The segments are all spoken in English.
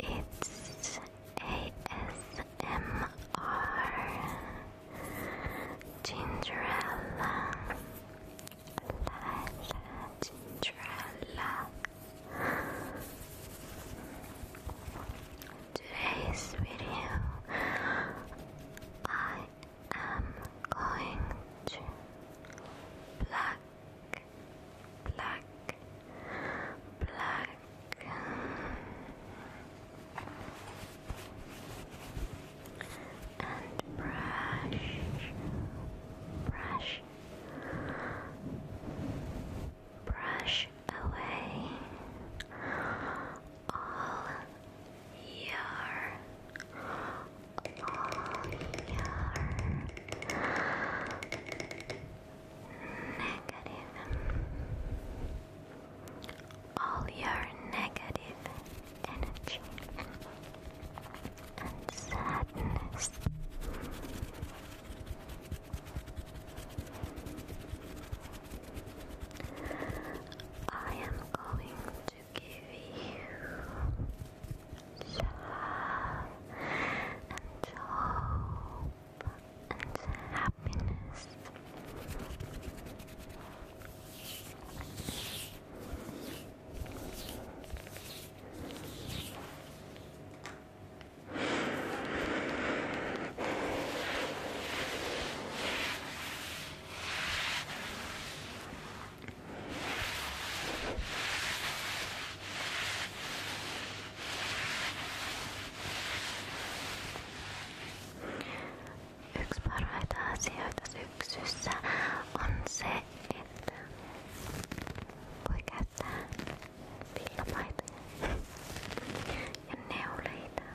It's ASMR Gingerella. Gingerella. Today's video, I am going to black, black, black. And brush, brush, brush away all your all your negative all your negative energy and sadness I am going to give you love and hope and happiness. Yksi parhaita asioita syksyssä on se, Look at that. Feel my And now later.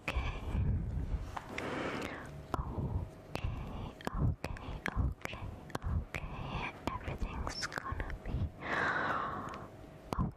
okay. Okay, okay, okay, okay. Everything's gonna be okay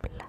black. Black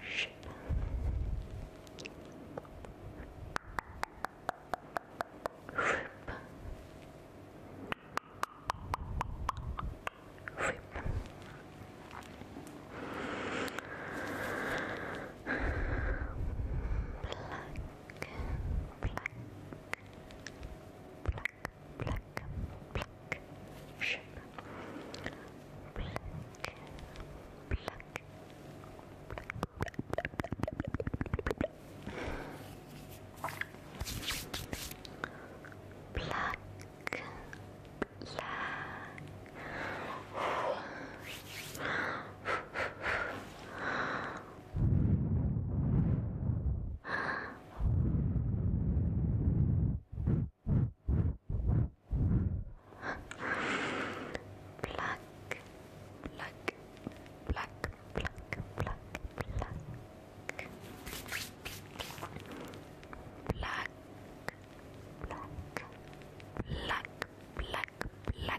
Shit. Rip. Rip. Black. Black. Black pluck, pluck, ship, pluck, pluck, pluck, pluck, Pluck, pluck, pluck, pluck, pluck, pluck. Black, black, black, black, black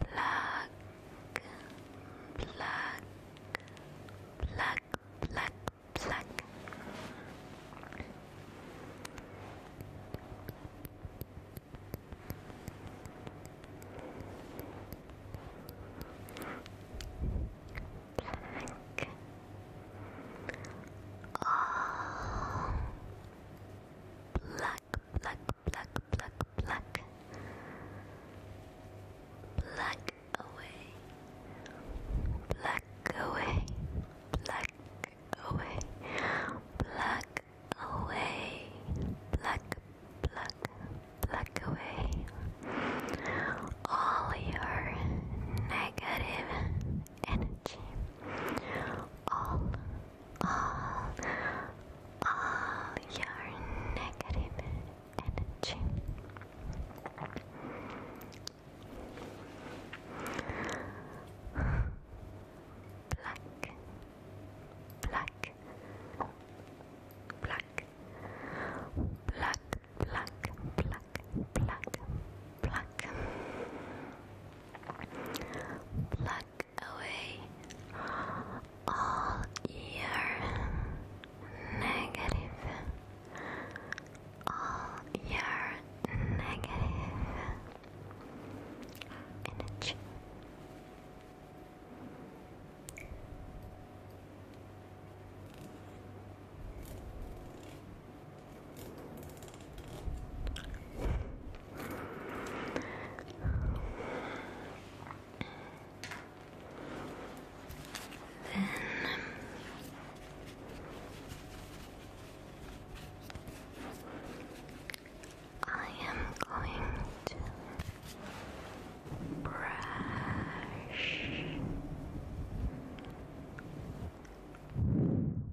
Pluck, pluck, pluck, pluck, pluck. Black. All black, black, black, black, black, black away, black away, black away, black away, black, black, black away. All your negative energy, all all all your negative energy. Black, black, black, black, black, black, black, black, black, away all your negative, all your negative energy. Then I am going to brush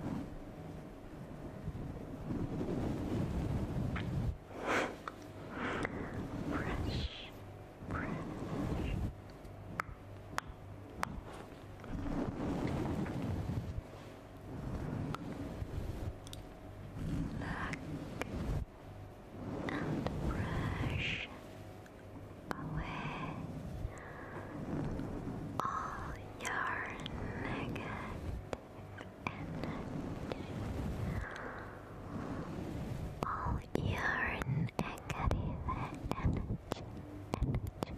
Fresh, fresh. Luck and fresh away all your negative energy, all your negative energy, energy, energy,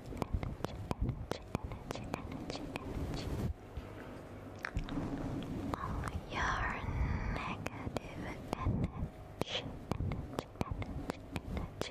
energy, energy, energy, energy. all your negative energy, energy, energy, energy, energy, energy,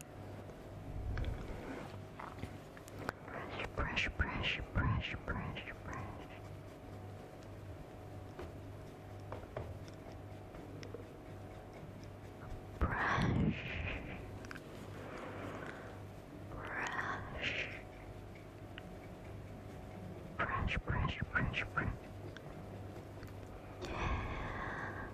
Brush, brush, brush, brush, brush. Brush. Brush. Brush, brush, brush, brush. Yeah.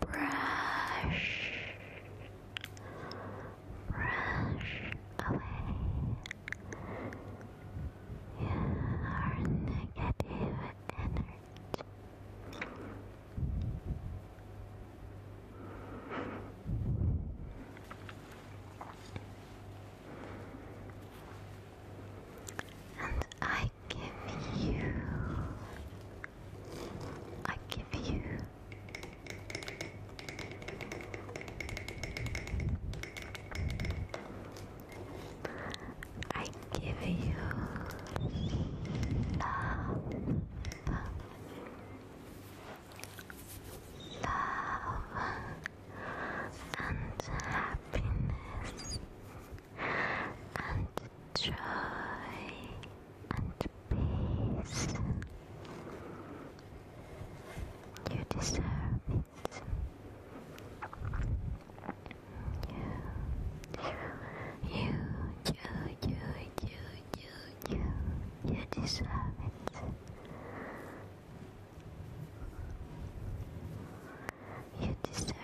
Brush, brush away you negative energy. And I give you, I give you I give you love, love and happiness and joy and peace. You deserve it. You, you, you, you, you, you, you, deserve it. You deserve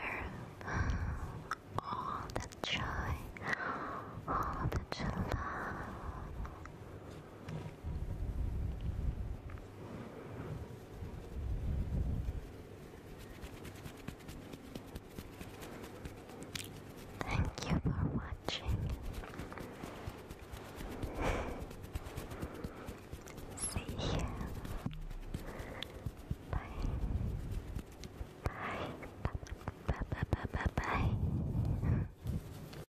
all the joy, all the love, Thank you for watching. See you. Bye. Bye. Bye. Bye. Bye. Bye. Bye. Bye.